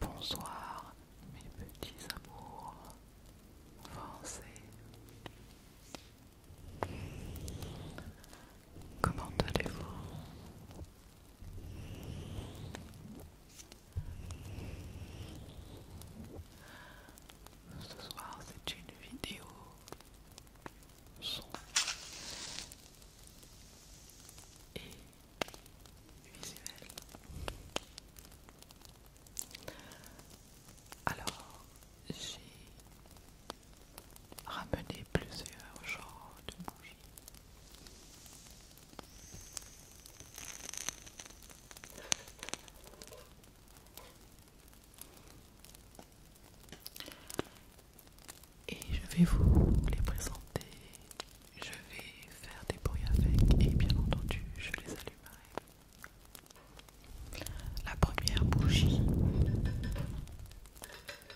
Bonsoir mes petits amours français. Comment allez-vous Ce soir, c'est une vidéo son et visuelle. Alors, j'ai ramené plusieurs genres de bougies. Et je vais vous les présenter. Je vais faire des bruits avec et bien entendu je les allumerai. La première bougie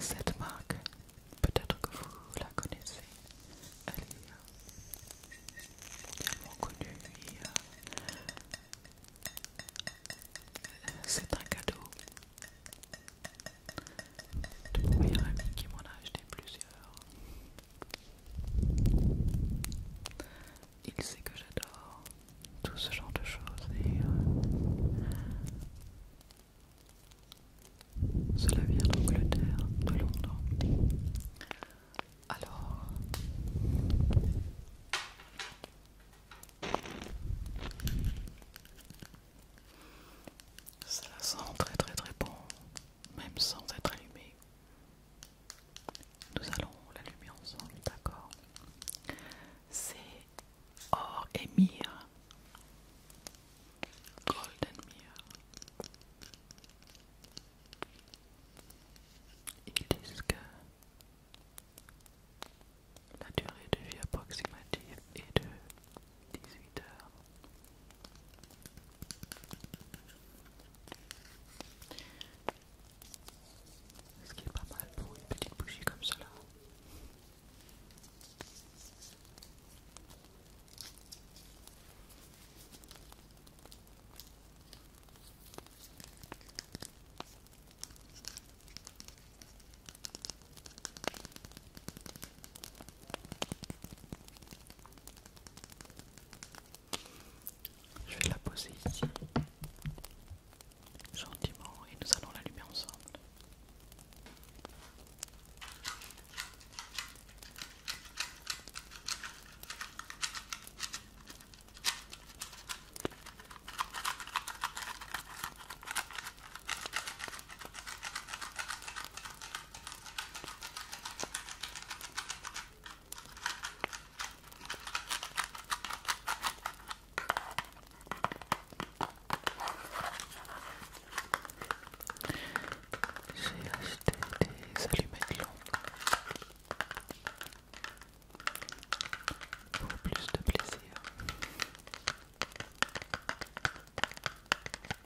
Cette marque, peut-être que vous la connaissez, elle est tellement euh, connue et euh, c'est un cadeau de mon meilleur ami qui m'en a acheté plusieurs. Il sait que j'adore tout ce genre de choses et euh, cela vient d'Angleterre, de Londres. Alors, ça sent très très très bon, même sans être allumé. Nous allons l'allumer ensemble, d'accord C'est Or et Mire. Golden Mire. Ils disent que la durée de vie approximative est de 18 heures. Ce qui est pas mal pour une petite bougie comme cela. Je vais la poser ici, gentiment, et nous allons l'allumer ensemble. J'ai acheté des allumettes longues pour plus de plaisir.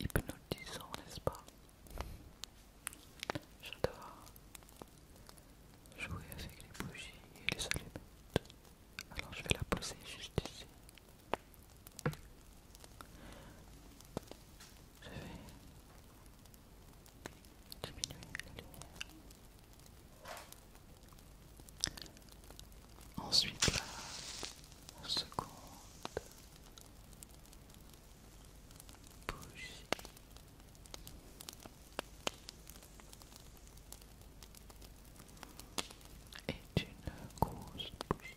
Hypnotisant, n'est-ce pas J'adore jouer avec les bougies et les allumettes. Alors je vais la poser juste ici. Je vais diminuer la lumière. Ensuite la seconde bouche. Est une grosse bouche.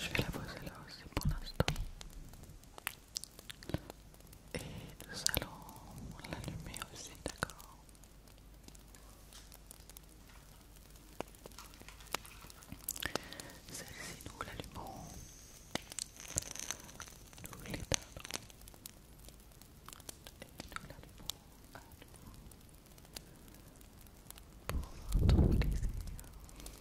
Je vais la poser là aussi pour l'instant. Et nous allons l'allumer aussi, d'accord Celle-ci, nous l'allumons, nous l'éteindrons et nous l'allumons à pour votre plaisir.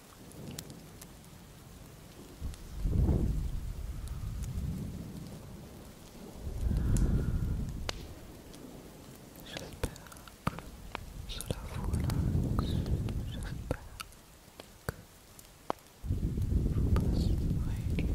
j'espère que cela vous relaxe, j'espère que vous passez une excellente pleine de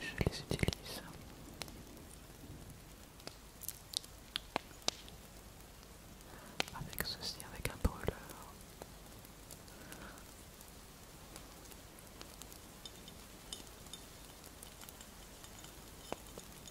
Je les utilise. Avec ceci, avec un brûleur.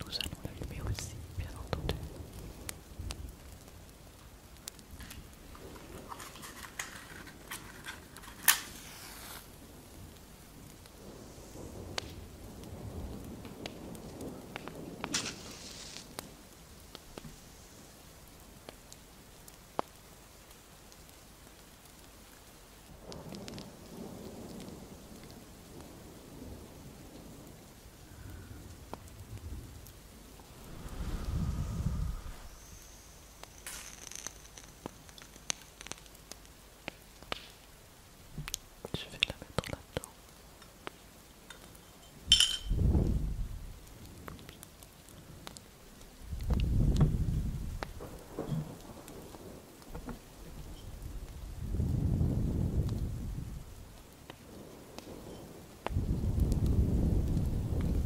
Nous allons l'allumer aussi, bien entendu. Je vais la mettre là-dedans.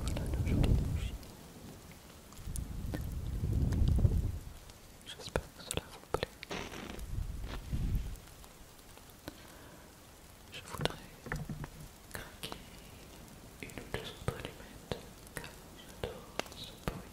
Voilà nos jolies bougies. J'espère que cela vous plaît. Je voudrais craquer une ou deux autres allumettes car j'adore ce bruit.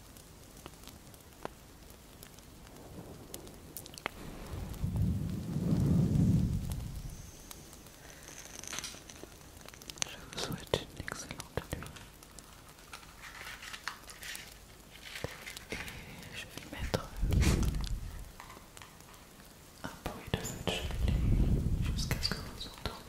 Je vous souhaite une excellente nuit. Et je vais mettre un bruit de feu jusqu'à ce que vous entendiez.